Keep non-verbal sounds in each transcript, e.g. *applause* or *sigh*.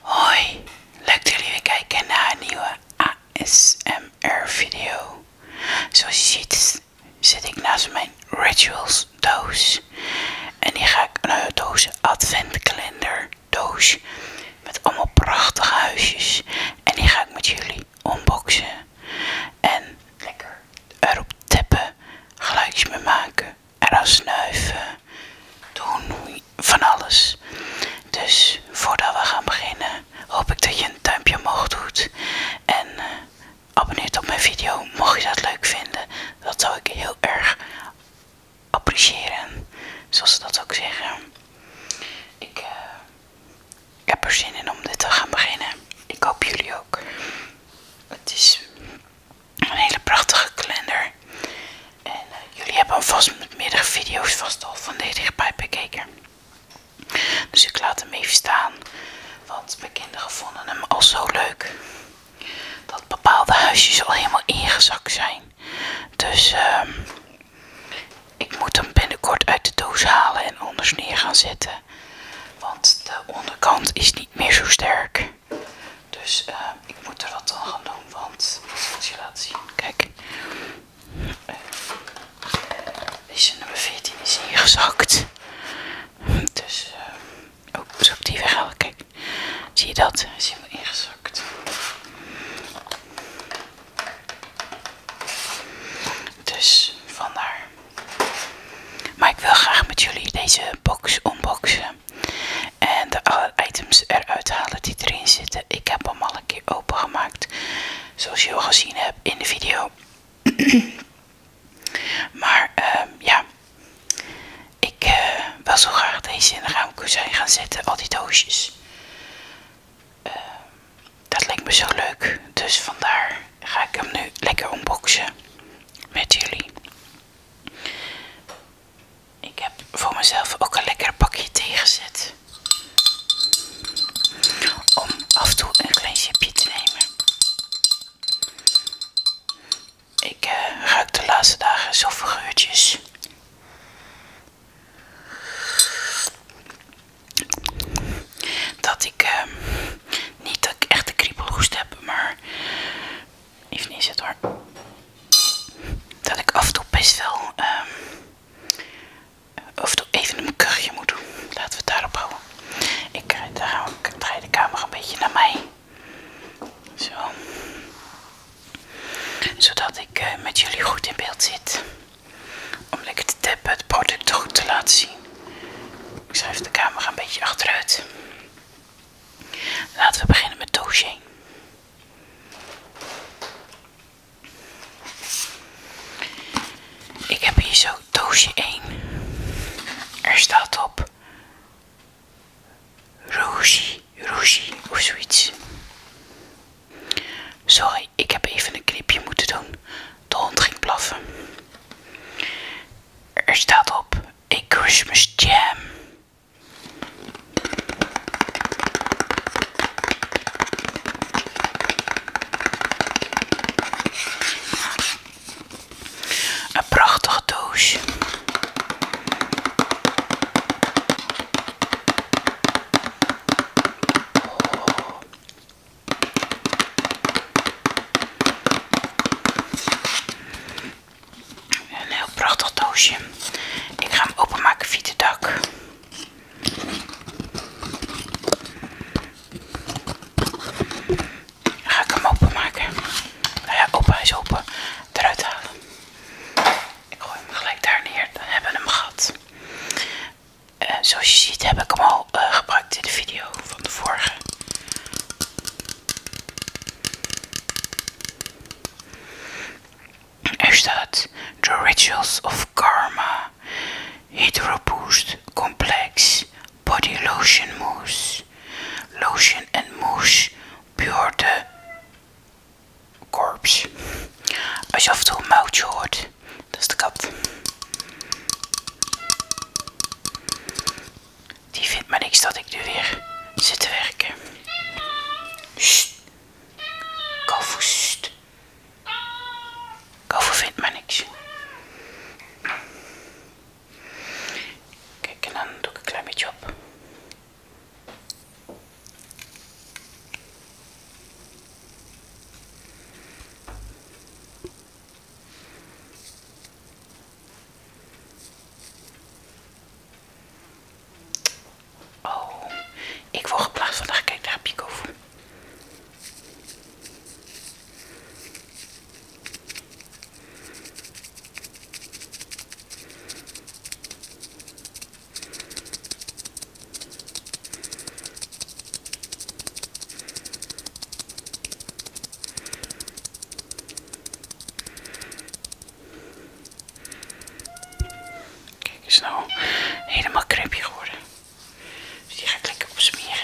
Hoi, leuk dat jullie weer kijken naar een nieuwe ASMR video. Zoals je ziet zit ik naast mijn Rituals doos. En die ga ik, een nou, doos adventkalender doos met allemaal prachtige huisjes. En die ga ik met jullie unboxen. En lekker erop tappen, geluidjes mee maken, eraan snuiven, doen van alles. Dus voordat we gaan beginnen, hoop ik dat je een duimpje omhoog doet. En abonneer eh, abonneert op mijn video, mocht je dat leuk vinden. Dat zou ik heel erg appreciëren, zoals ze dat ook zeggen. Ik eh, ik heb er zin in om dit te gaan beginnen. Ik hoop jullie ook. Het is een hele prachtige kalender. En eh, jullie hebben vast met meerdere video's vast al van deze bij bekeken. Dus ik laat hem even staan. Want mijn kinderen vonden hem al zo leuk. Dat bepaalde huisjes al helemaal ingezakt zijn. Dus ehm, ik moet hem binnenkort uit de doos halen en anders neer gaan zetten. Want de onderkant is niet meer zo sterk. Dus eh, ik moet er wat aan gaan doen, want als je laten zien. Kijk. Eh, deze nummer 14 is ingezakt. Dus ook eh, oh, zo op die weghalen. Kijk, zie je dat? Hij is helemaal ingezakt. Dus vandaar. Maar ik wil graag met jullie deze box unboxen. En de alle items eruit halen die erin zitten. Ik heb hem al een keer opengemaakt. Zoals je al gezien hebt in de video. *clears throat* maar ehm, ja. Ik was eh, wil zo graag deze in de zijn gaan zetten. Al die doosjes. Ehm, dat lijkt me zo leuk. Dus vandaar ga ik hem nu lekker unboxen met jullie. Ik heb voor mezelf ook een lekker pakje thee Om af en toe een klein sipje te nemen. Ik eh, ruik de laatste dagen zoveel geurtjes. Dat ik ehm, niet dat ik echt de kriebelhoest heb, maar even niet het hoor. Dat ik af en toe best wel of ehm, even een kuchje moet doen. Laten we het daarop houden. Ik draai de camera een beetje naar mij. Zo. Zodat ik eh, met jullie goed in beeld zit om lekker te tappen het product goed te laten zien. Ik schuif de camera een beetje achteruit. Laten we beginnen met doosje. 1. Ik heb hier zo doosje 1. Er staat op Rougie, Rougie of zoiets. Sorry, ik heb even een knipje moeten doen. De hond ging blaffen. Er staat op: een Christmas Jam. Een prachtige doos. Een heel prachtig doosje. Ik ga hem openmaken via de dak. ga ik hem openmaken. Nou ja, open, is open. Eruit halen. Ik gooi hem gelijk daar neer. Dan hebben we hem gehad. Eh, zoals je ziet heb ik hem al eh, gebruikt in de video van de vorige. Er staat The Rituals of Karma Hydro Boost Complex Body Lotion Mousse Lotion and Mousse Pure de korps. Als je af en toe een moutje hoort, dat is de kat. Die vindt maar niks dat ik nu weer zit te werken. Sst. Kofu, vindt maar niks. Kijk, en dan doe ik een klein beetje op. Oh, ik word geplaatst vandaag. Kijk, daar heb Kijk eens nou, helemaal krepje geworden. Dus die ga ik lekker opsmeren.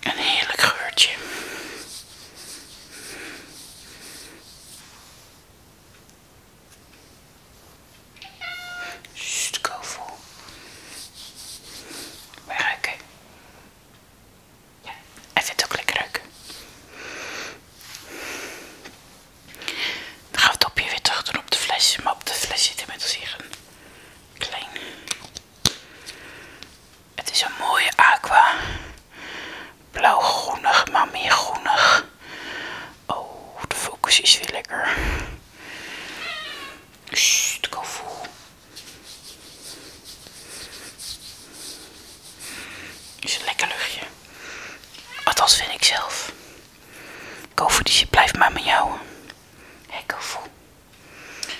Een heerlijk geurtje. Sst, kovel. Wij ruiken. Ja, het ook lekker ruiken. Dan gaan we het topje weer terug doen op de fles. Maar op de fles zit inmiddels hier een klein het is een mooie aqua. Blauw-groenig, maar meer groenig. Oh, de focus is weer lekker. Sst, koffie. Is een lekker luchtje. Althans vind ik zelf. Koffie, die blijft maar met jou. Hé, hey,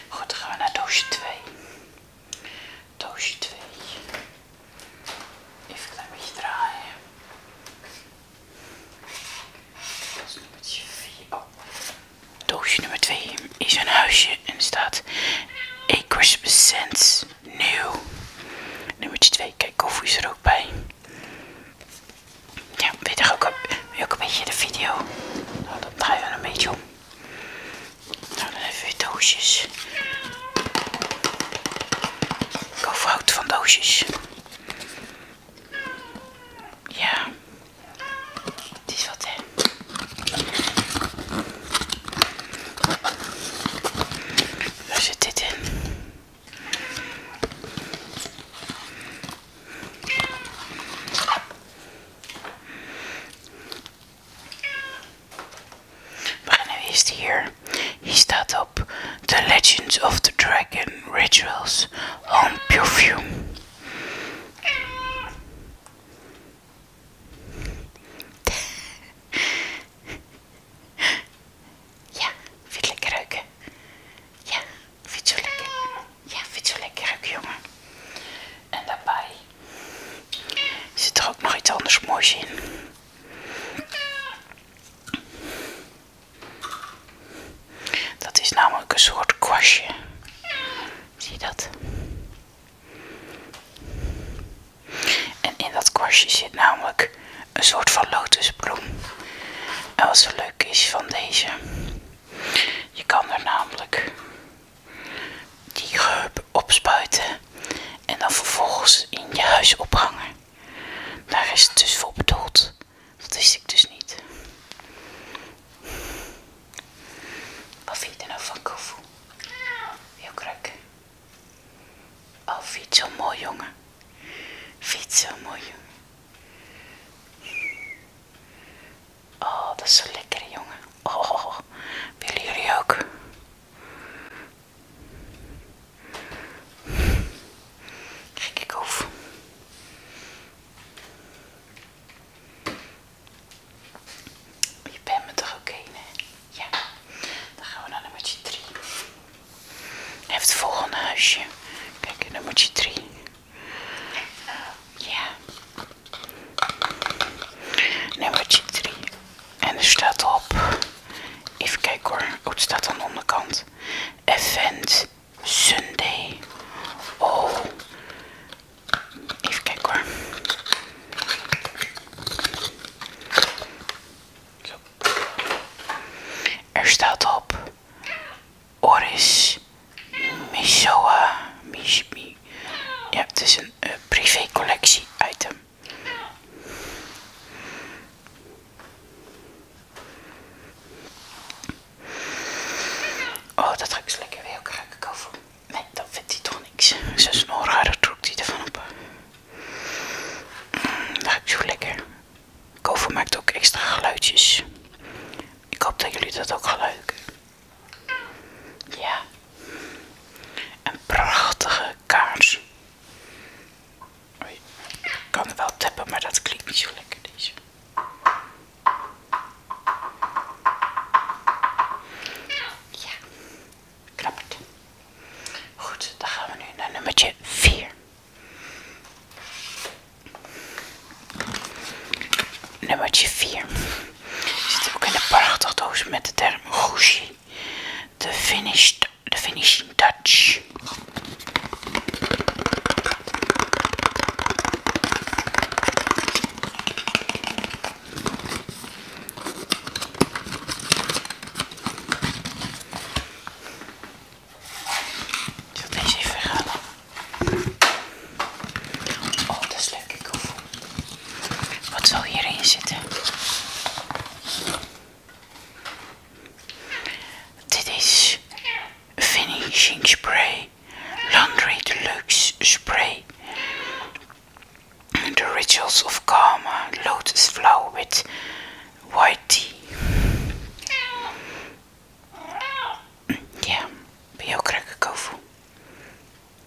Goed, dan gaan we naar doosje 2. Doosje 2. Even een beetje draaien. Dat is nummertje 4. Doosje nummer 2 is een huisje en er staat A Christmas Sense nieuw. Nummer 2, kijk, koffie is er ook bij. Ja, weet je ook, ook een beetje de video? Nou, dan draaien we een beetje om. Nou, dan even weer doosjes. Ik houd van doosjes. Ja. Dit is wat, hè. Waar zit dit in? We gaan nu eerst hier. Hier staat op The Legends of the Dragon Rituals on Perfume. *laughs* Ja, vind je lekker ruiken? Ja, vind je lekker? Ja, vind je lekker ruiken, jongen? En daarbij Zit er ook nog iets anders moois in? Dat is namelijk een soort kwastje. Zie je dat? En in dat kwastje zit namelijk een soort van lotusbloem. En wat zo leuk is van deze. Je kan er namelijk die geup opspuiten en dan vervolgens in je huis ophangen. Daar is het dus voor bedoeld. Dat wist ik dus niet. Wat vind je er nou van, Kofu? Heel kruk. Oh, fietsen zo mooi jongen? Fietsen zo mooi jongen? Oh, dat is zo lekker, jongen. Oh, willen jullie ook? Gekke koef. Je bent me toch oké, Ja. Dan gaan we naar nummer 3. even heeft het volgende huisje. Kijk, nummertje 3. Ja. 3. En er staat op. Even kijken hoor. Oh, het staat aan de onderkant. Event Sunday. Oh. Even kijken hoor. Zo. Er staat op. Oris Misoa. Mishmi. Ja, het is een eh, privé collectie item. Oh, dat zo lekker weer. Ook ik Nee, dat vindt hij toch niks. Zijn snorharen trok hij ervan op. Mm, dat dat ik zo lekker. Kover maakt ook extra geluidjes. Ik hoop dat jullie dat ook gaan ja, een prachtige kaars. Oei, ik kan wel tappen, maar dat klinkt niet zo lekker deze. Ja, het. Goed, dan gaan we nu naar nummertje 4. Nummertje 4. Zit ook in een prachtig doos met de term Gucci. De finished, the finishing touch. Ik zal deze even halen. Oh, dat is leuk. Ik Wat zal hierin zitten? Dit is finishing spray. Laundry Deluxe Spray. The Rituals of Karma Lotus Flower with White Tea. Ja, ben je ook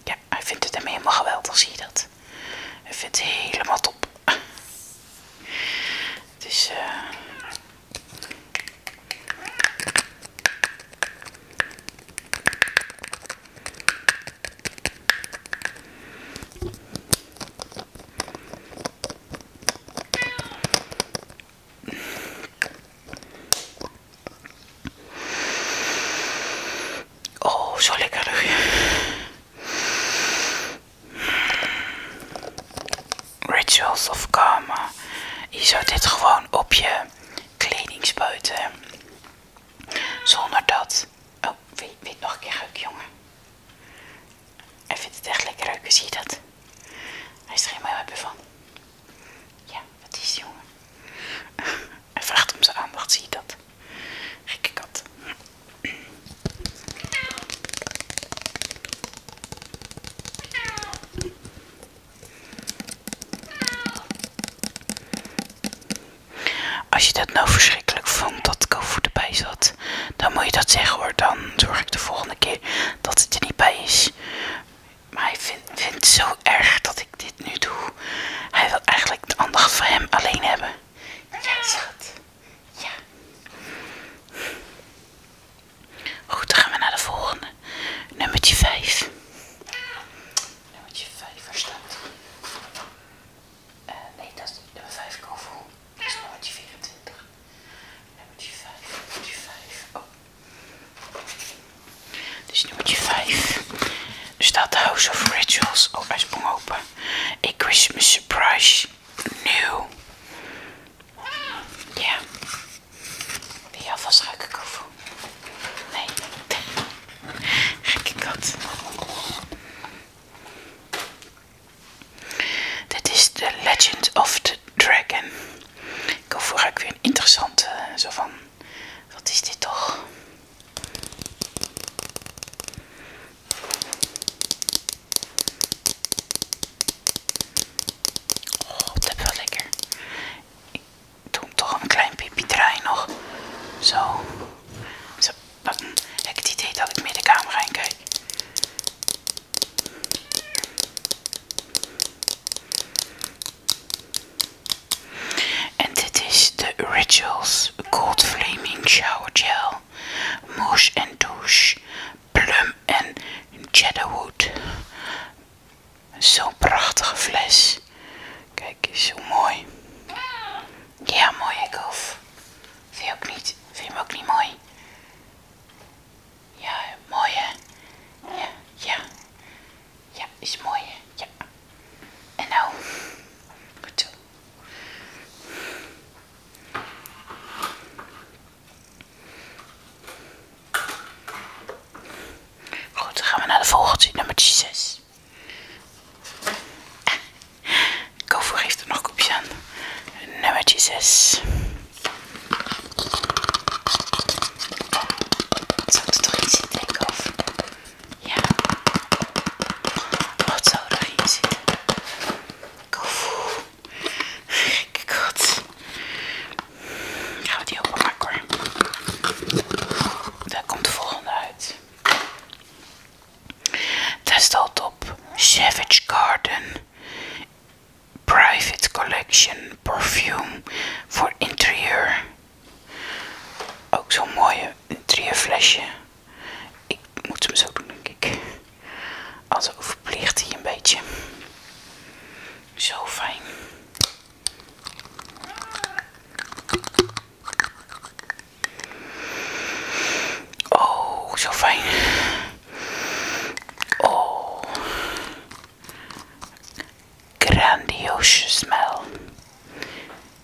ja, hij vindt het hem helemaal geweldig, zie je dat? Hij vindt helemaal top. Het is... *laughs* Dus, eh, Oh, zo lekker luchtje. Rituals of Karma. Je zou dit gewoon op je kleding spuiten. Zonder dat... Oh, weet, weet nog een keer ruiken, jongen. Hij vindt het echt lekker ruiken, zie dat? Hij is er helemaal hebben van. Ja, wat is het, jongen? Hij vraagt om zijn aandacht, zie je dat? Gekke kat. Als je dat nou verschrikkelijk vond dat Kofu erbij zat, dan moet je dat zeggen hoor. Dan zorg ik de volgende keer dat het er niet bij is. Maar hij vindt, vindt het zo erg dat ik dit nu doe. Hij wil eigenlijk de andere van hem alleen hebben. Ja, het. Ja. Goed, dan gaan we naar de volgende. Nummertje 5. Nummertje 5, waar eh, Nee, dat is niet nummer 5, Kovel. Dat is nummertje 24. Nummertje 5, nummer 5. Oh. Dus nummer 5. Er staat House of Rituals. Oh, hij sprong open. A Christmas Surprise. Nieuw. Ja. Wil je alvast ruiken, Kofu? Nee. Kijk *laughs* dat. Dit is The Legend of the Dragon. Ik hoor ik weer een interessante eh, zo van. Wat is dit toch? Oh, dat is wel lekker. Ik doe toch een klein pipi draai nog. Zo. Zo. heb ik het idee dat ik meer de camera in kijk. En dit is de Rituals Gold Flaming Shower Gel. Mousse en douche. Plum en Cheddarwood. Zo'n prachtige fles. Kijk zo mooi. Ja, mooi ik hoef. Vind je ook niet? Vind je hem ook niet mooi? Ja, mooi hè? Ja, ja. Ja, is mooi Ja. En nou, goed zo. Goed, dan gaan we naar de volgende, nummer 6. Kovo heeft er nog kopjes aan. Nummertje 6. Zou er toch iets in denken of... Ja. Wat oh, zou daarin zitten? Koevoe. kijk wat Gaan we die openmaken hoor. Daar komt de volgende uit. Daar staat op Savage Garden Private Collection Perfume voor interieur. Ook zo'n mooie flesje Ik moet hem zo doen, denk ik. Als overplicht hij een beetje. Zo fijn. Oh, zo fijn. Oh grandiose smell.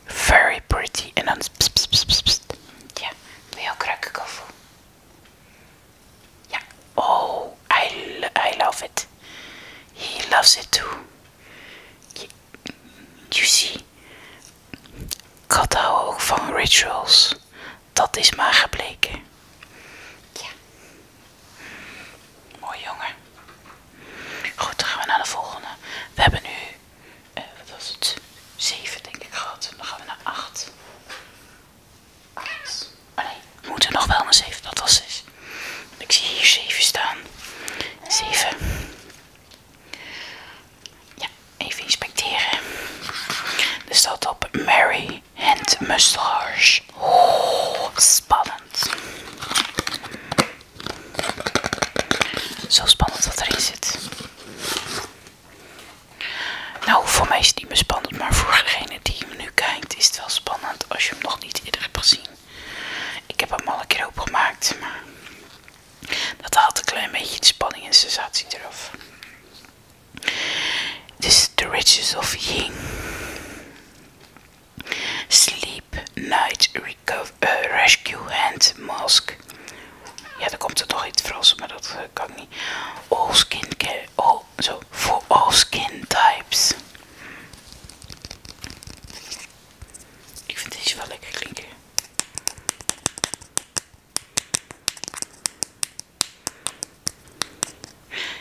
Very pretty. En dan. Pst, Ja, wil je ook Ja. Oh, I, I love it. He loves it too. You, see, ook van rituals. Dat is maar gebleken. Ja. Mooi jongen. Goed, dan gaan we naar de volgende. We hebben nu, eh, wat was het, 7 denk ik gehad. Dan gaan we naar 8. Oh nee, we moeten nog wel naar 7, dat was 6. Ik zie hier 7 staan. 7. Ja, even inspecteren. Er staat op Mary and Mustache. Oh, spannend. Zo spannend wat erin zit. Nou, voor mij is het niet meer spannend, maar voor degene die me nu kijkt is het wel spannend als je hem nog niet eerder hebt gezien. Ik heb hem al een keer opengemaakt, maar dat haalt een klein beetje de spanning en sensatie eraf. Het is The Riches of Ying. Sleep Night eh, Rescue Hand Mask. Ja, daar komt er toch iets Frans, maar dat eh, kan niet. All skin care. Oh, zo. For all skin types. Ik vind deze wel lekker klinken.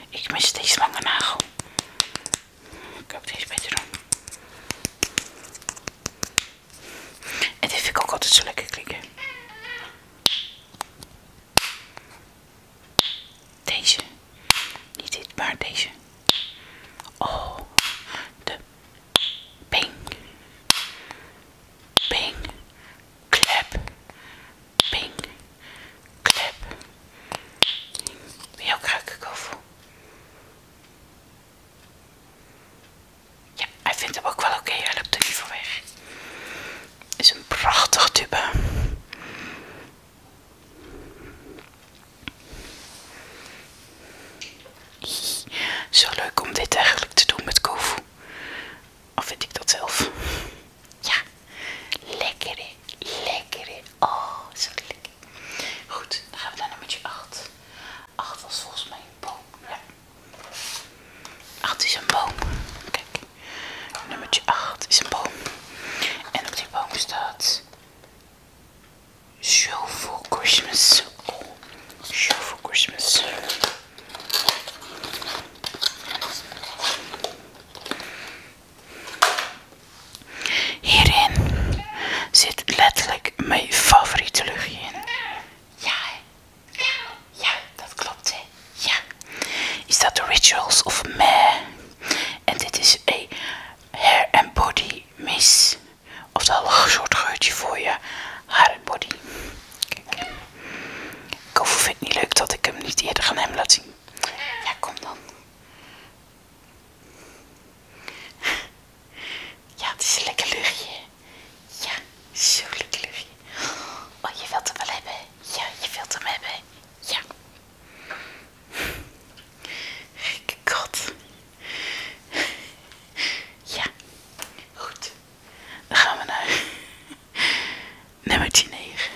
Ik mis deze lange nagel. Ik ook deze beter doen. En dit vind ik ook altijd zo lekker klikken. Deze. Niet dit, maar deze. Oh, de ping. Ping. Klep. Ping. Klep. Wil je ook ruiken, Kovo? Ja, hij vindt hem ook wel oké. Hij loopt er liever weg. Is een prachtig tube. Zo leuk om dit eigenlijk te doen met kofu. Of vind ik dat zelf? Ja, lekker, lekker. Oh, zo lekker. Goed, dan gaan we naar nummertje 8. 8 was volgens mij een boom. Ja. 8 is een boom. Kijk, nummertje 8 is een boom. En op die boom staat Show for Christmas. Oh, show for Christmas. Hierin zit letterlijk mijn favoriete luchtje in. Ja, Ja, dat klopt, hè? Ja. Is dat de Rituals of Meh? En dit is een hair and body mist. Oftewel een soort geurtje voor je haar en body. Kijk. Ik het niet leuk dat ik hem niet eerder gaan hem laat zien. Ja, kom dan. Ja, het is een lekker luchtje. Ja, zo lekker luchtje. Oh, je wilt hem wel hebben. Ja, je wilt hem hebben. Ja. God. Ja. Goed. Dan gaan we naar nummer 9.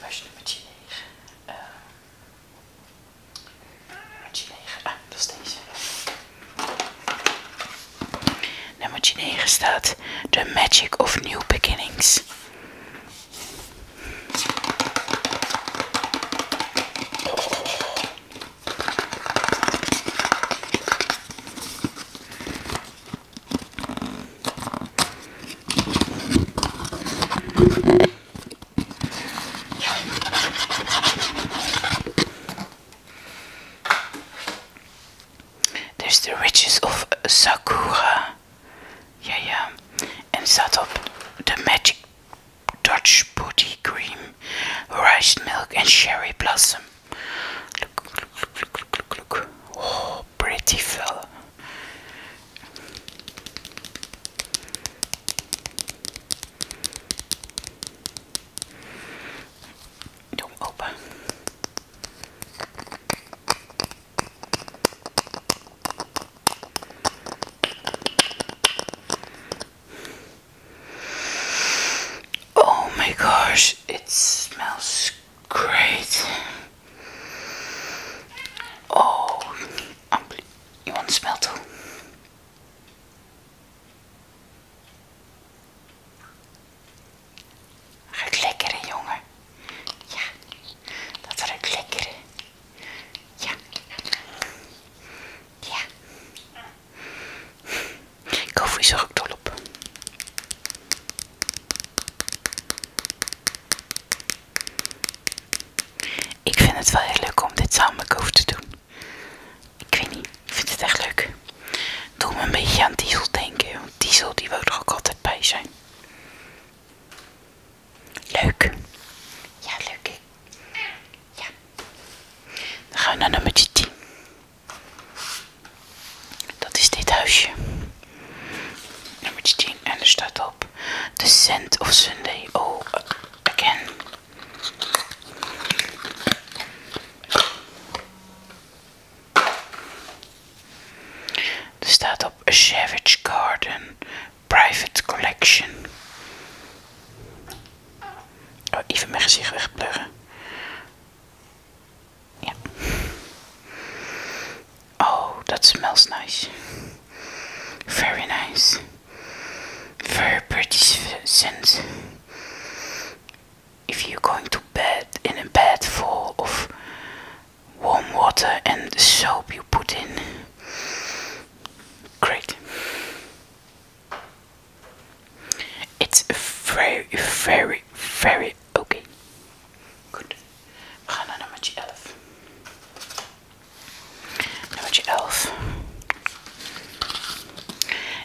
Waar is nummertje 9? Nummertje 9. Ah, staat The Magic of New Beginnings. There's the riches of Sakura. Yeah, yeah. And set up the magic Dutch booty cream, rice milk, and cherry blossom. Look, look, look, look, look, look. Oh, pretty fella open. Oh my gosh, it smells great. Oh, Ampli you want to smell lekker jongen. Ja, dat ruikt lekker Ja. Ja. Koffie is er ook dol op. Ik vind het wel heel leuk om dit samen te doen. Ik weet niet, ik vind het echt leuk. Doe me een beetje aan Diesel denken, want Diesel die wil er ook altijd bij zijn. Leuk. Ja, leuk. Ja. Dan gaan we naar nummer 10. Dat is dit huisje. Nummer 10. En er staat al de scent of Sunday. Oh, again. Er staat op A Savage Garden Private Collection. Oh, even mijn gezicht wegpluggen. Ja. Oh, dat smelt nice. Very nice. Very pretty scent. If you're going to bed in a bed full of warm water and soap you put in, great. It's very, very, very okay. Goed, we gaan naar nummertje 11. Nummertje 11.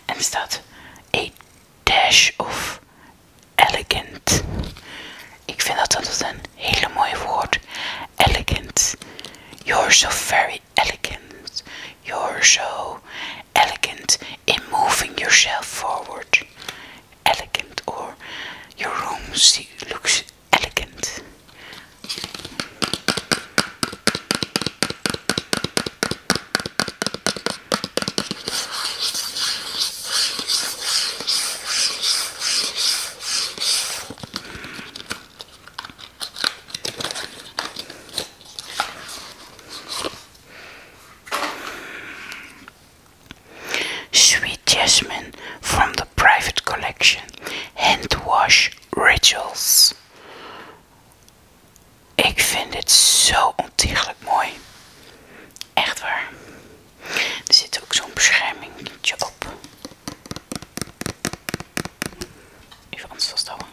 En staat a dash of elegant. Ik vind dat dat een hele mooi woord. Elegant. You're so very elegant. You're so elegant in moving yourself forward. Elegant or your room looks elegant. Sweet jasmine from the private collection, hand wash Rituals. Ik vind dit zo ontiegelijk mooi. Echt waar. Er zit ook zo'n beschermingetje op. Even anders vasthouden.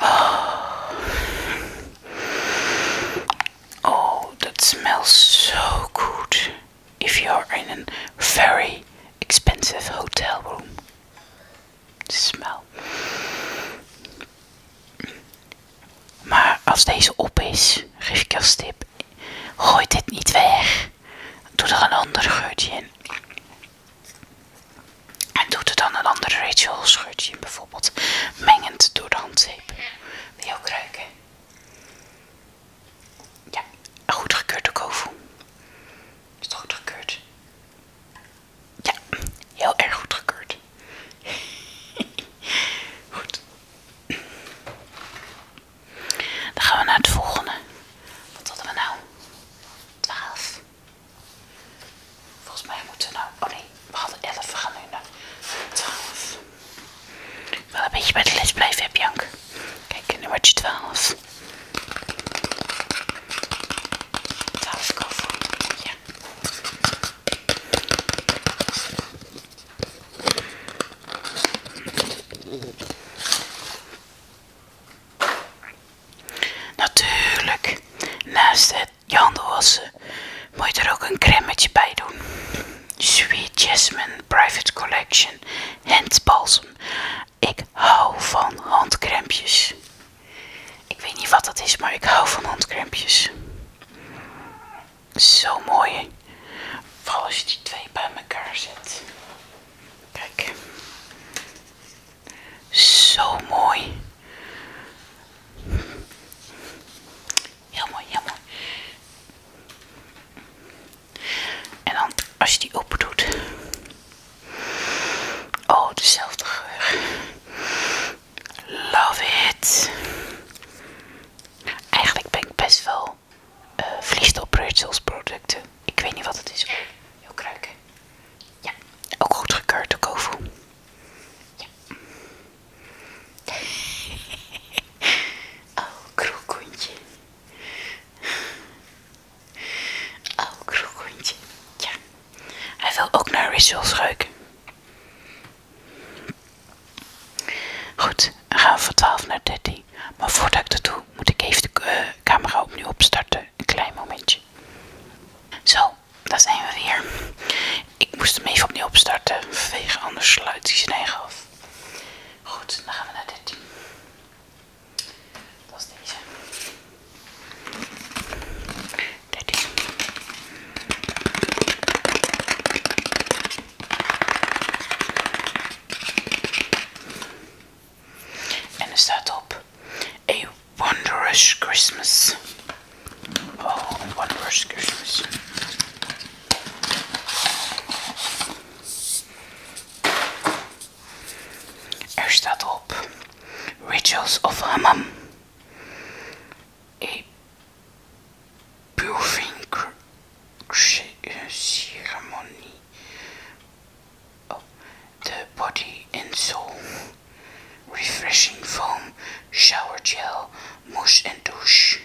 Oh. oh, that smells so good if you're in a very expensive hotel room. Smell. Maar als deze op is, geef ik als tip Gooi dit niet weg. Doe er een ander geurtje in. En doe er dan een ander ritual geurtje in, bijvoorbeeld mengend door de handzeep. Wil je ook ruiken? Ja, een goed gekeurd kovo. Is het goed gekeurd? Ja, heel erg *laughs* goed gekeurd. goed. Dan gaan we naar het volgende. Wat hadden we nou? 12. Volgens mij moeten we nou. Oh nee, we hadden 11. We gaan nu naar 12. Wel een beetje bij de les blijven, heb Jank. Kijk, je 12. 12 koffie. Ja. Natuurlijk, naast het wassen moet je er ook een cremmetje bij doen. Sweet Jasmine Private Collection Handbalsem. Ik hou van handcrempjes. Ik weet niet wat dat is, maar ik hou van handcrempjes. Zo mooi. Vooral als je die twee bij elkaar zet. Kijk. Zo mooi. Heel mooi, heel mooi. En dan als je die open doet. Oh, dezelfde geur. Love it. Eigenlijk ben ik best wel uh, op op producten. Ik weet niet wat het is. Oh, heel kruiken. Ja, ook goed gekeurd door Kofu. Ja. *laughs* oh, kroekoentje. Oh, kroekoentje. Ja. Hij wil ook naar Rituals ruiken. Goed, dan gaan we van 12 naar 13. Maar voordat ik dat doe, moet ik even de eh, camera opnieuw opstarten. Een klein momentje. Zo, daar zijn we weer. Ik moest hem even opnieuw opstarten, vanwege anders sluit hij zijn eigen af. Goed, dan gaan we naar 13. Dat deze. 13. And er staat op A Wondrous Christmas. Oh, A Wondrous Christmas. Er staat op Rituals of Hammam. A et a uh, Ceremony of The Body and Soul Refreshing Foam Shower Gel Mousse and Douche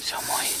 So mooi.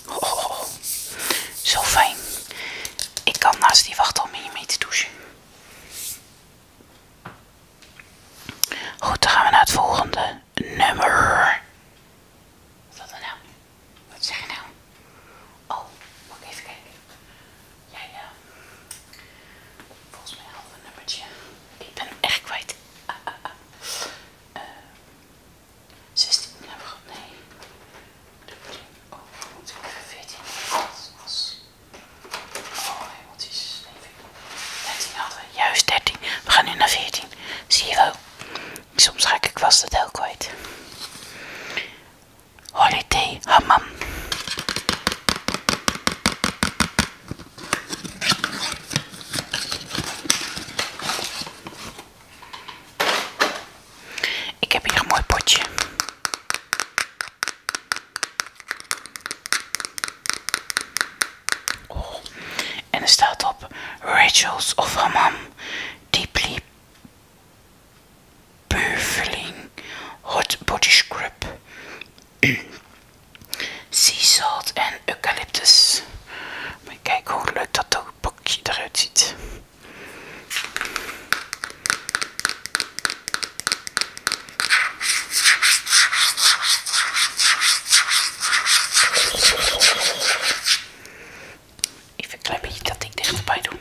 Oh, Zo fijn. Ik kan naast die wacht om hier mee te douchen. Goed, dan gaan we naar het volgende nummer. Wat dan? dat nou? Wat zeg je nou? Oh, mag ik even kijken? Jij, ja, volgens mij half een nummertje. Ik ben echt kwijt. Ah, ah, ah. Eh, 16 hebben nou, we nee. De pudding. Oh, moet ik even 14 als Oh, emoties. Nee, 13 hadden we. Juist 13. We gaan nu naar 14. Zie je wel. Soms ga ik vast het heel kwijt. Holiday Hammam. Ik heb hier een mooi potje. Oh, en er staat op Rachels of Hammam Deeply Purfling Hot Body Scrub *clears throat* Sea Salt en Eucalyptus. Maar kijk hoe leuk dat ook pakje eruit ziet. Even een klein beetje dat ik dit doen.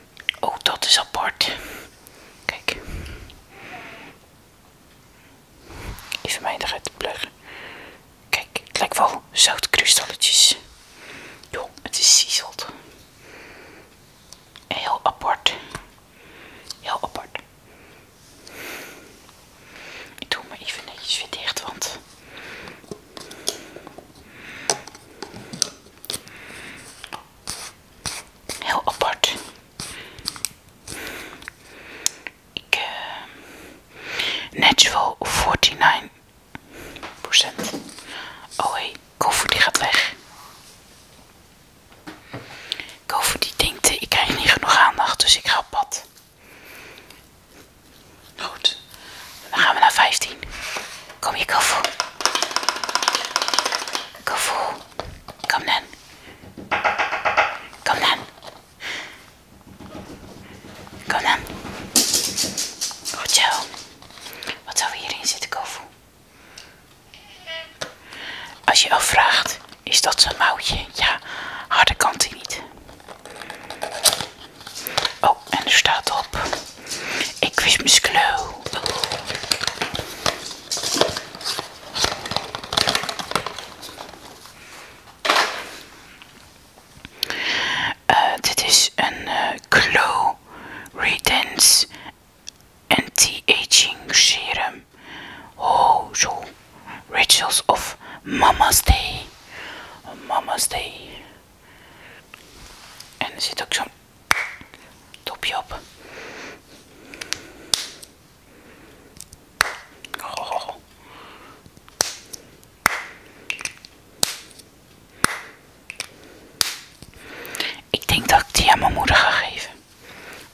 oh, dat is apart. Kijk. Even mij te pluggen. Kijk, het lijkt wel zoutkristalletjes. Jo, het is siezeld. Heel apart. Heel apart. Ik doe me even netjes weer dicht, want... Heel apart. Ik, uh, natural 49%. Oh hey, Koffie die gaat weg. Koffie die denkt, eh, ik krijg niet genoeg aandacht, dus ik ga op pad. Goed, dan gaan we naar 15. Kom je, Koffie. Koffie. Kom dan. Kom dan. Kom dan. Goed zo. Wat zou hierin zitten, Kofu? Als je al vraagt, is dat zo'n mouwtje? Ja, harde kant niet. Oh, en er staat op. Ik wist mijn kleur. Eh, dit is een uh, Glow Redance Anti-Aging Serum. Oh, zo. Rituals of Mama's Day. Mama's Day. En er zit ook zo'n Topje op. Oh. Ik denk dat ik die aan mijn moeder ga geven.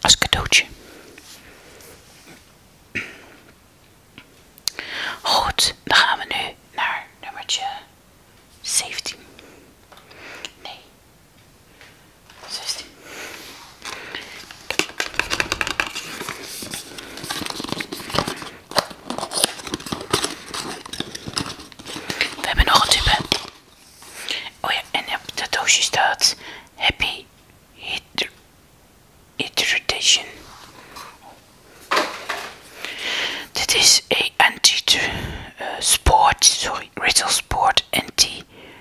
Als cadeautje. Goed, dan gaan we nu naar nummertje 17. Nee, 16. We hebben nog een type. Oh en op dat doosje staat Happy It It Hydration. Dit is een anti-sport, eh, sorry, Rital Sport anti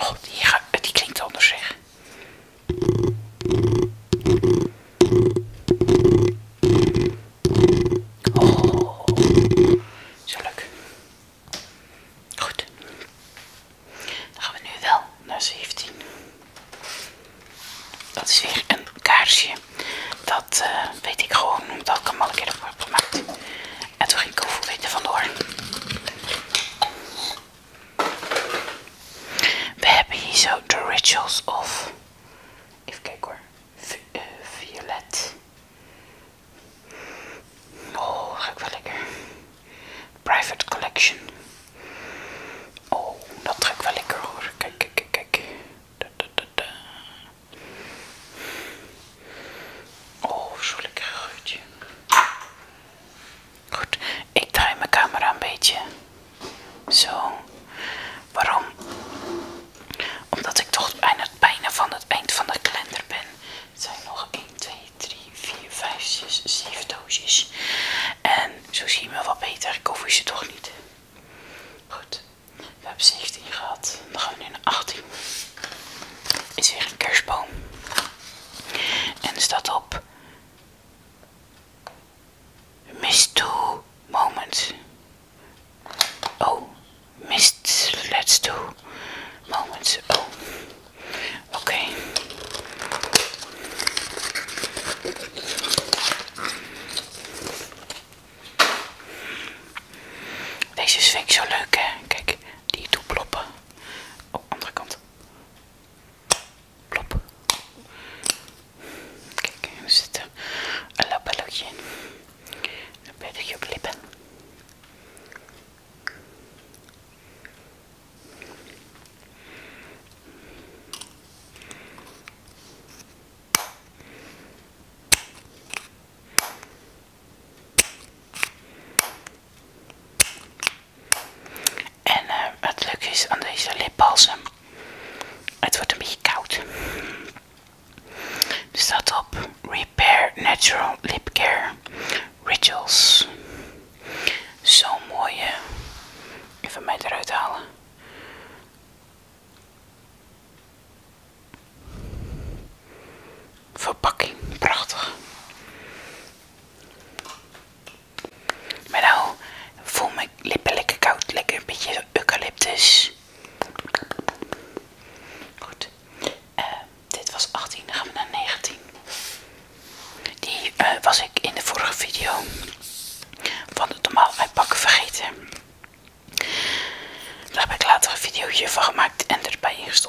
Oh, die, klinkt anders zich. Oh, zo leuk. Goed. Dan gaan we nu wel naar 17. Dat is weer een kaarsje. Dat eh, weet ik gewoon omdat ik hem al een keer heb gemaakt. En toen ging vandoor. We hebben hier zo The Rituals of... Even kijken hoor. Eh, violet. Oh, ik wel lekker. Private Collection. Oh, dat ik wel lekker hoor. Kijk, kijk, kijk, kijk. Oh, zo'n lekker geurtje. Goed, ik draai mijn camera een beetje. Zo. Waarom? Omdat ik toch aan het bijna van het eind van de kalender ben. Het zijn nog 1, 2, 3, 4, 5, 6, 7 doosjes. En zo zie je me wat beter. Ik hoef je ze toch niet. Goed. We hebben 17 gehad. Dan gaan we nu naar 18 is weer een kerstboom. En staat op Mist to moment. Oh, mist let's do moments Oh, oké. Deze vind zo leuk, hè? Kijk, die toe ploppen. Oh, andere kant. Plop. Kijk, er zitten een labellotje in. Een beetje op en wat eh, het is aan deze lipbalsem, het wordt een beetje koud. Er staat op Repair Natural Lip Care Rituals. Zo'n mooie. Even mij eruit halen. Verpakking, prachtig. Maar nou voel mijn lippen lekker koud, lekker een beetje eucalyptus. Goed, eh, dit was 18, dan gaan we naar 19. Die eh, was ik in de vorige video van het normaal uitpakken vergeten. Daar heb ik later een video van gemaakt en erbij ingestopt.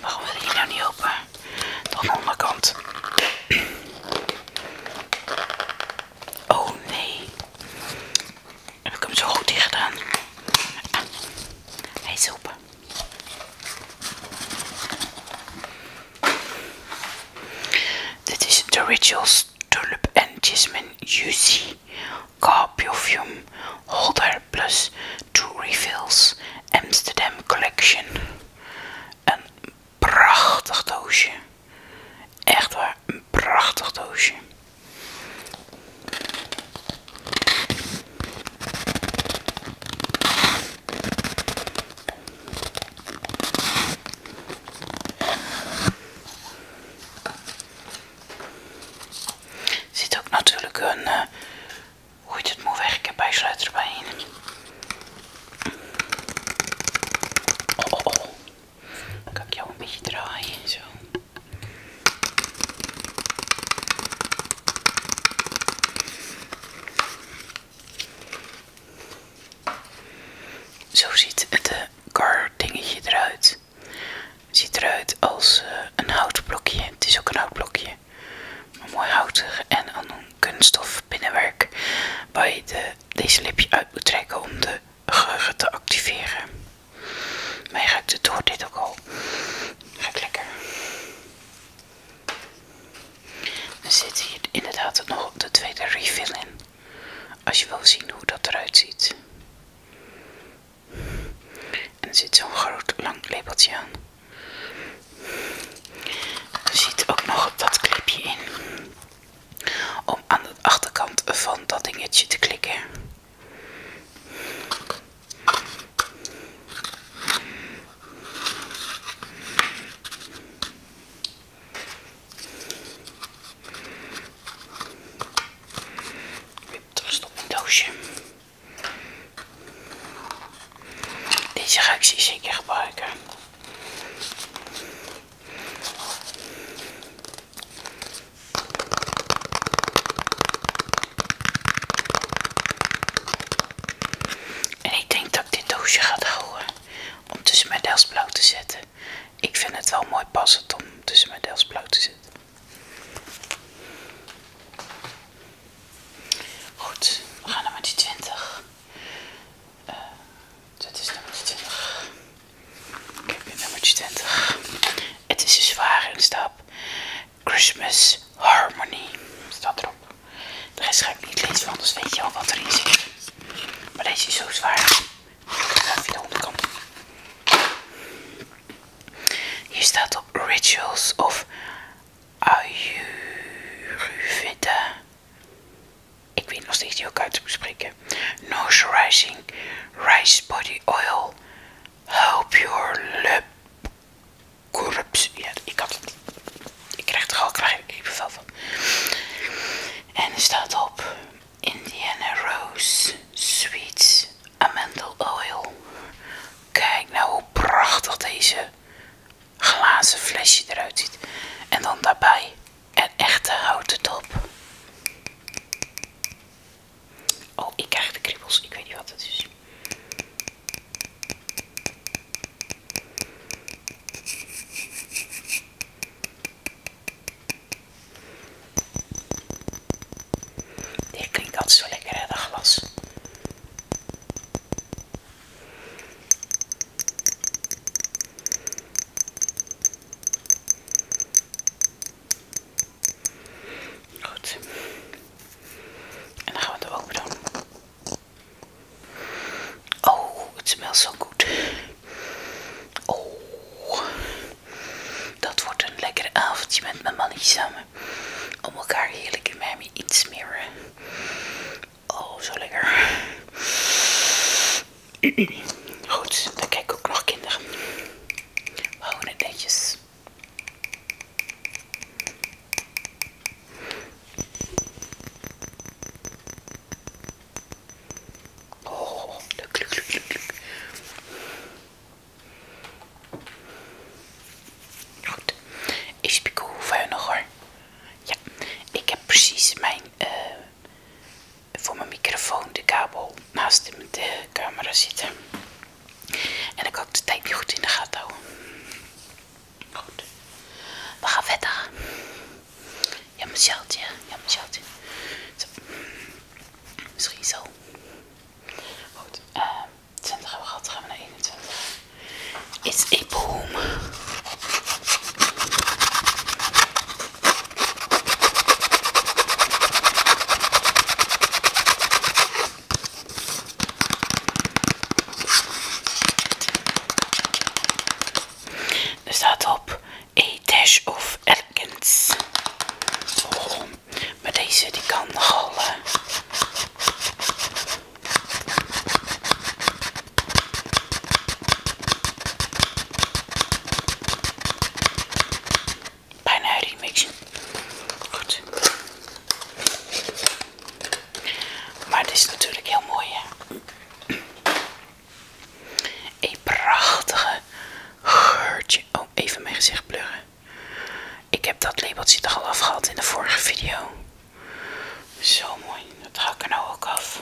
waarom wil je nou niet open? Dan de onderkant. Oh nee. Heb ik hem zo goed dicht gedaan? hij is open. Dit is de Rituals Tulip and Jasmine Juicy Perfume Holder plus two refills Amsterdam Collection. Een prachtig doosje. Echt waar, een prachtig doosje. zit ook natuurlijk een eh, hoe je het moet heb bij sluiterbeen. Oh, oh, oh. Dan kan ik jou een beetje draaien zo. Zo ziet het eh, kar car dingetje eruit ziet eruit als eh, een houtblokje. Het is ook een houtblokje. Maar mooi houtig en dan een kunststof binnenwerk waar je de, deze lipje uit moet trekken om de geuren te activeren. Mij ruikt het door dit ook al. Ruikt lekker. Er zit hier inderdaad nog de tweede refill in. Als je wil zien hoe dat eruit ziet. En zit zo'n groot lang lepeltje aan. Er zit ook nog dat klepje in. Om aan de achterkant van dat dingetje te klikken. Wip, dat een doosje. Deze ga ik zeker gebruiken. En ik denk dat ik dit doosje ga houden om tussen mijn dels blauw te zetten. Ik vind het wel mooi passend om tussen mijn dels blauw te zetten. Goed, we gaan naar met 20. dit is nummer 20. Ik heb hier nummer 20. Het is een zware stap. Christmas Harmony staat erop. De is ga ik niet lezen, van anders weet je al wat erin zit. Maar deze is zo zwaar. Ik ga even de onderkant. Hier staat op rituals of Ayurveda. Ik weet nog steeds niet hoe ik uit te bespreken. Nose rice body oil, Hope your lip kurps Ja, ik had het. Ik krijg er al klein kippenvel van. En er staat op Indiana Rose Sweets amandel oil. Kijk nou hoe prachtig deze glazen flesje eruit ziet. En dan daarbij een echte houten dop. Oh, ik krijg de kriebels. Ik weet niet wat het is. Die klinkt altijd zo lekker, hè, dat glas. Goed. En dan gaan we het ook doen. Oh, het smells zo goed. Oh. Dat wordt een lekker avondje met mijn mannetje samen. Om elkaar heerlijk in mij iets meer. Oh, zo lekker. Goed, dan kijk ik ook nog kinderen. We houden het netjes. Oh, leuk, kluk, kluk. leuk. Goed. Ik spiek nog hoor. Ja, ik heb precies mijn, eh, voor mijn microfoon de kabel naast de, camera zitten. En ik had de tijd niet goed in de gaten houden. Goed. We gaan verder. Ja, mijn sjaaltje. Ja, mijn Zo. Misschien zo. Goed. eh. 20 hebben we gehad, gaan we naar 21. It's a boom. Er staat op A e Dash of Elegance. Maar deze die kan nogal... Eh, bijna remixen. Goed. Maar dit is natuurlijk heel mooi, hè? Een prachtige geurtje. Oh, even mijn gezicht pluggen. Ik heb dat labeltje er al af gehad in de vorige video. Zo mooi. Dat hak we er nou ook af.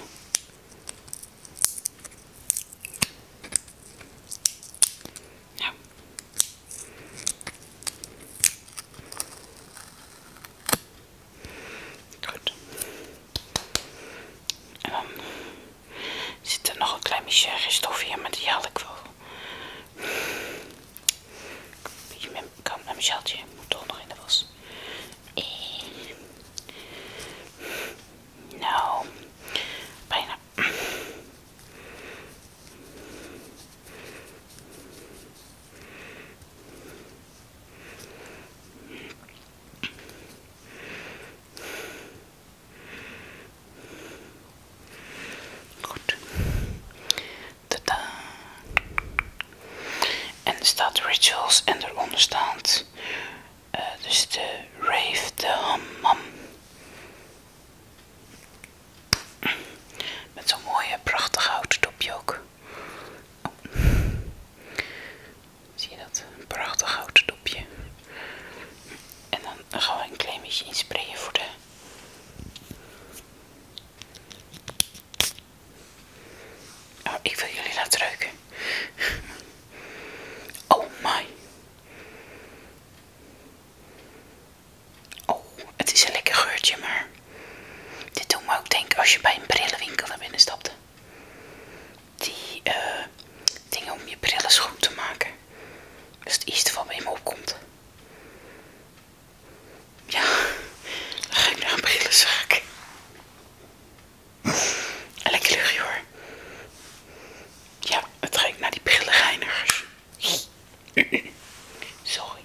Nou. Goed. En dan zit er nog een klein beetje reststof hier, maar die haal ik wel Beetje met, kan Moet toch nog in de was. En... Eh. Nou, bijna. Goed. Tada. En er staat rituals en eronder staat eh, dus de rave, de hammam. Met zo'n mooie prachtig houten dopje ook. Zie je dat? Een prachtig houten dopje. En dan gaan we een klein beetje inspreien voor de Oh, ik wil jullie laten ruiken. Oh my. Oh, het is een lekker geurtje, maar dit doet me ook denken als je bij een brillenwinkel naar binnen stapt. Die eh, dingen om je brillen schoon te maken. Is dus het eerste wat bij me opkomt. Ja, dan ga ik naar een brillenzaak. Lekker luchtje hoor. Ja, het ik naar die brillenreinigers. Sorry.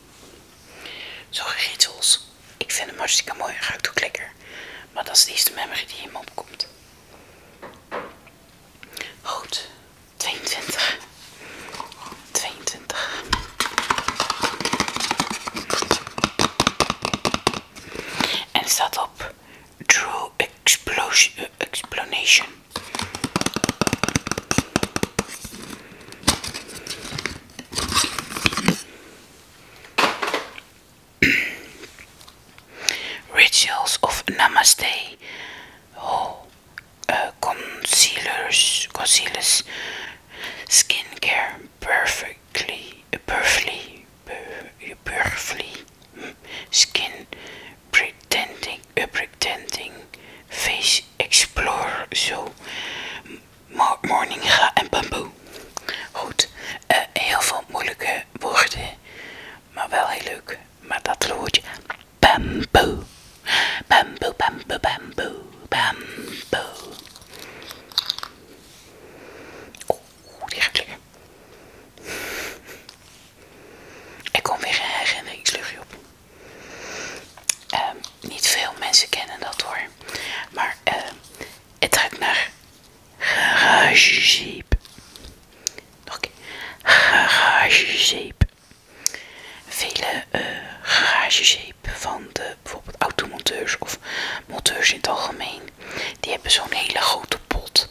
Sorry, Ritsels. Ik vind hem hartstikke mooi en ik ook lekker. Maar dat is de eerste memory die in me opkomt. Goed, 22. 22. En er staat op True explosion, Explanation. Rituals of Namaste. Oh, Eh, concealers, concealers, skincare perfectly, perfectly, perfectly, skin pretending, eh, pretending, face explorer, zo, morning ga en bamboe. Goed, eh, heel veel moeilijke woorden, maar wel heel leuk. Maar dat loodje bamboe, bamboe, bamboe, bamboe, bamboe. Oeh, die gaat lekker. Ik kom weer een herinneringsluchtje op. Ehm, niet veel mensen kennen dat hoor, maar ehm, het gaat naar garagezeep. Nog een Vele uh, van de bijvoorbeeld automonteurs of monteurs in het algemeen, die hebben zo'n hele grote pot.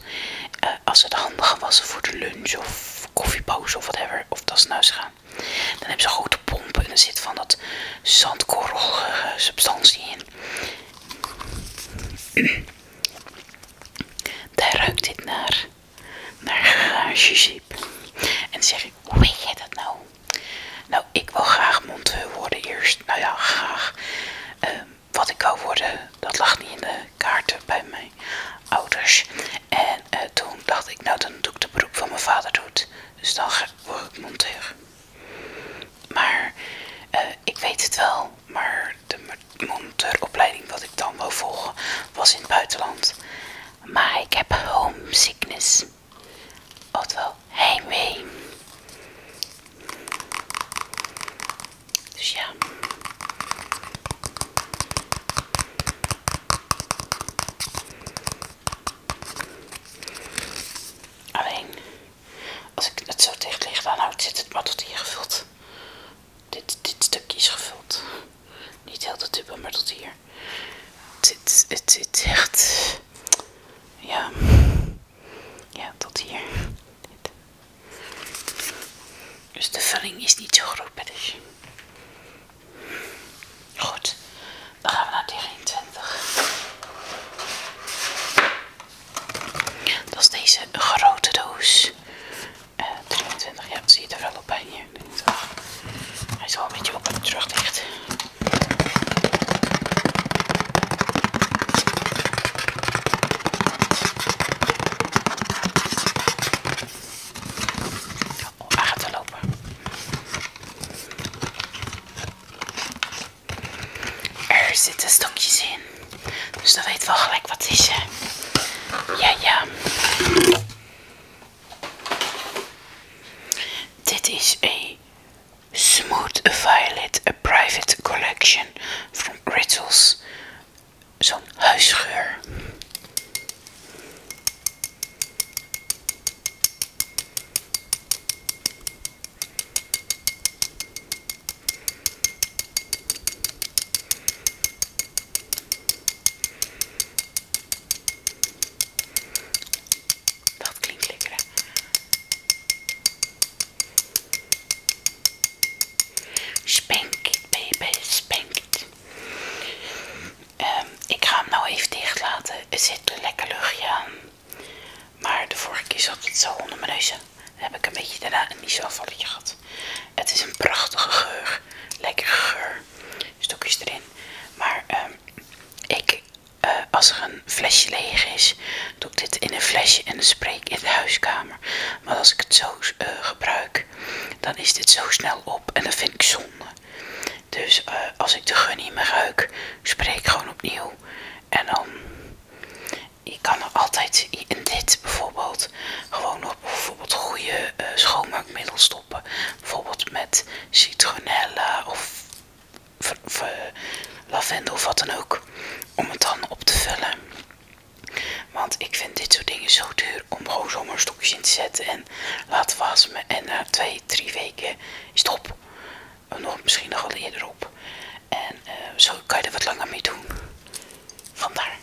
Eh, als het handig was voor de lunch of koffiepauze of whatever, of dat ze naar huis gaan, dan hebben ze grote pompen en er zit van dat zandkorrelige substantie in. Daar ruikt dit naar naar Jujip. En zeg ik, hoe weet je dat nou? Nou, ik wil graag monteur worden eerst. Nou ja, graag. Ehm, wat ik wou worden, dat lag niet in de kaarten bij mijn ouders. En eh, toen dacht ik, nou dan doe ik de beroep van mijn vader doet. Dus dan word ik monteur. Maar eh, ik weet het wel, maar de monteuropleiding wat ik dan wou volgen was in het buitenland maar ik heb homesickness, ofwel heimwee. Dus ja. Alleen, als ik het zo dicht lig, dan houdt zit het maar tot hier gevuld dit, stukje is gevuld. Niet heel de tube, maar tot hier. Het, het, het, echt... Ja... Ja, tot hier. Dus de vulling is niet zo groot Goed. Dan gaan we naar die 20. Dat is deze grote doos. 23, eh, ja, zie je er wel op bij hier. Hij is een beetje op het terug dicht. Oh, hij gaat te lopen. Er zitten stokjes in. Dus dat weet wel gelijk wat is. Hè? Ja, ja. Dit is een Smooth Violet, a private collection from Rituals. Zo'n huisgeur. Dat klinkt lekker, hè? Spank baby, spank ehm, ik ga hem nou even dicht laten. Er zit een lekker luchtje aan. Maar de vorige keer zat het zo onder mijn neus. Dan heb ik een beetje daarna een nisselvalletje gehad. Het is een prachtige geur. Lekker geur stokjes erin. Maar ehm, ik, eh, als er een flesje leeg is, doe ik dit in een flesje en spreek in de huiskamer. Maar als ik het zo eh, gebruik, dan is dit zo snel op en dat vind ik zonde. Dus eh, als ik de gun niet ruik, spreek gewoon opnieuw. En dan, je kan er altijd in dit bijvoorbeeld, gewoon nog bijvoorbeeld goede uh, schoonmaakmiddels Bijvoorbeeld met citronella of lavendel of wat dan ook. Om het dan op te vullen. Want ik vind dit soort dingen zo duur om gewoon zomaar stokjes in te zetten en laten wasmen. En na eh, twee, drie weken is het op. Eh, nog, misschien nog al eerder op. En eh, zo kan je er wat langer mee doen. Vandaar.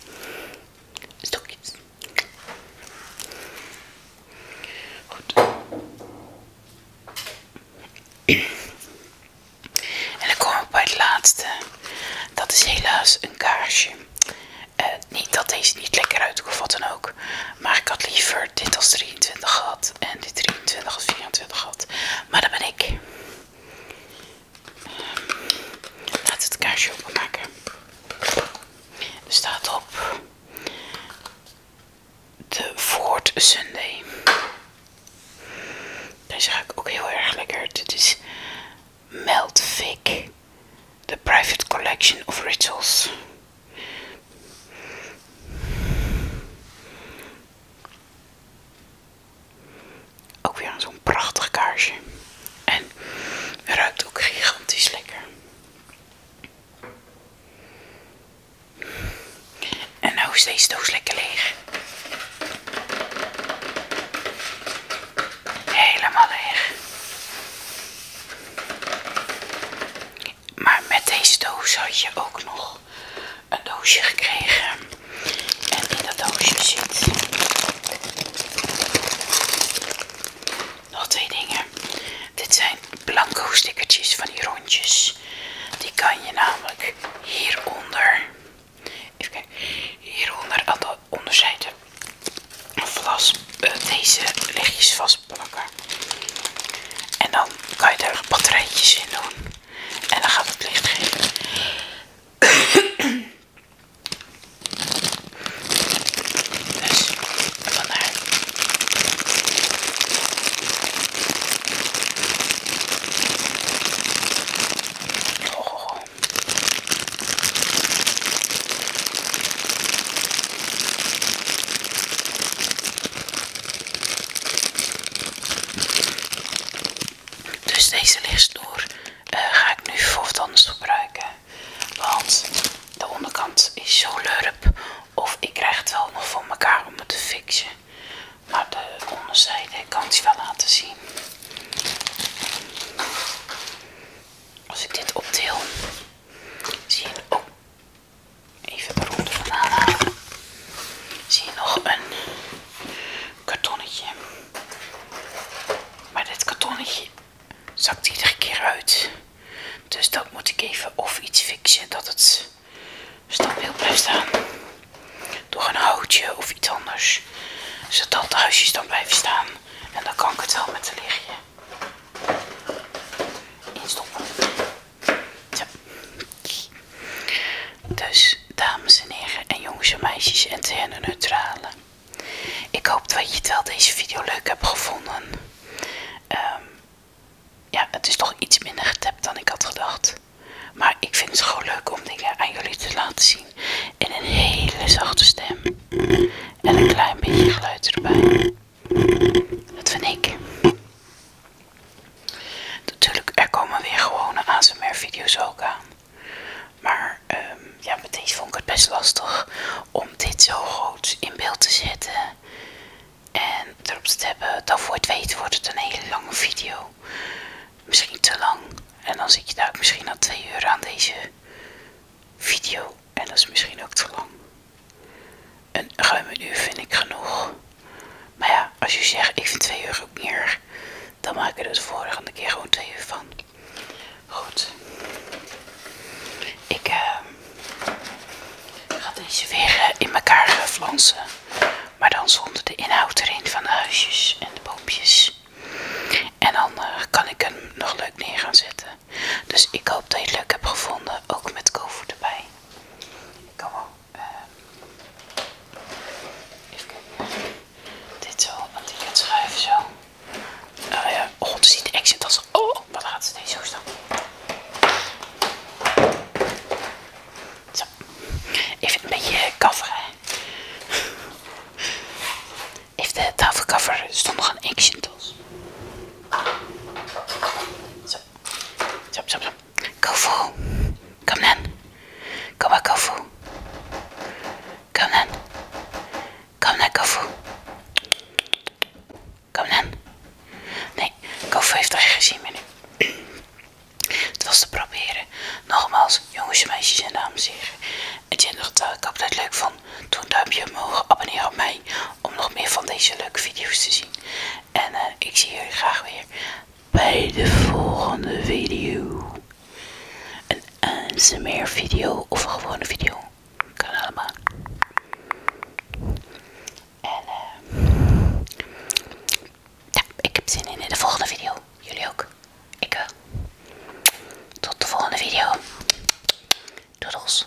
Stokjes. En dan kom ik bij het laatste. Dat is helaas een kaarsje. Eh, niet dat deze niet lekker uitkomt dan ook. Maar ik had liever dit als 23 gehad. En dit 23 als 24 gehad. Maar dat ben ik. Laat ehm, laten het kaarsje openmaken. Er staat op de Ford Sunday. Deze ruikt ook heel erg lekker. Dit is Melt Vic, The Private Collection of Rituals. Ook weer zo'n prachtig kaarsje. En ruikt ook gigantisch lekker. En nou is deze doos lekker leeg. Helemaal leeg. Maar met deze doos had je ook nog een doosje gekregen. En in dat doosje zit nog twee dingen. Dit zijn blanco stickertjes van die rondjes. Die kan je namelijk hieronder, even kijken, hieronder aan de onderzijde vlas eh, deze lichtjes plakken. En dan kan je er batterijtjes in doen. En dan gaat het licht geven. *coughs* Dus, dus deze lichtstoer eh, ga ik nu voor anders gebruiken. Want de onderkant is zo lurp. Of ik krijg het wel nog voor elkaar om het te fixen. Maar de onderzijde kan ik wel laten zien. Als ik dit optil, zie je, oh, even de ronde halen. Zie je nog een kartonnetje. Maar dit kartonnetje zakt iedere keer uit. Dus dat moet ik even of iets fixen dat het stabiel blijft staan. Door een houtje of iets anders. Zodat de huisjes dan blijven staan. En dan kan ik het wel met een lichtje instoppen. Dus dames en heren en jongens en meisjes en neutrale. Ik hoop dat je het wel deze video leuk hebt gevonden. Ehm, ja, het is toch iets minder getapt dan ik had gedacht. Maar ik vind het gewoon leuk om dingen aan jullie te laten zien. In een hele zachte stem. En een klein beetje geluid erbij. Dat vind ik. Natuurlijk, er komen weer gewone ASMR video's ook aan. Maar ehm, ja, met deze vond ik het best lastig om dit zo groot in beeld te zetten en erop te hebben, dan voor het weten wordt het een hele lange video. Misschien te lang. En dan zit je daar ook misschien al twee uur aan deze video. En dat is misschien ook te lang. Een ruim een uur vind ik genoeg. Maar ja, als je zegt ik vind twee uur ook meer, dan maak ik er de vorige keer gewoon twee uur van. Goed. Ik ehm, ga deze weer eh, in elkaar eh, flansen. Maar dan zonder de inhoud erin van de huisjes en de boompjes. En dan eh, kan ik hem nog leuk neer gaan zetten. Dus ik hoop dat je het leuk hebt gevonden. Ook met koffie erbij. Ik kan wel. Ehm, even Dit zo, want ik het schuiven zo oh, eh, het action Oh, wat gaat ze deze zo Zo. Even een beetje coveren. Even de tafelcover stond nog een action tas. Zo. Zo, zo, Kofu. Kom dan. Kom maar, Kofu. Kom dan. Kom naar Kofu. Kom dan. Nee, Kofu heeft er geen zin meer nu. Het was te proberen. Nogmaals, jongens, meisjes en dames en heren. ik hoop dat je leuk van. Doe een duimpje omhoog, abonneer op mij om nog meer van deze leuke video's te zien. En eh, ik zie jullie graag weer bij de volgende video. Een ASMR video of een gewone video. Kan allemaal. En eh, ja, ik heb zin in, in de volgende video. Jullie ook. Ik wel. Tot de volgende video. Doodles.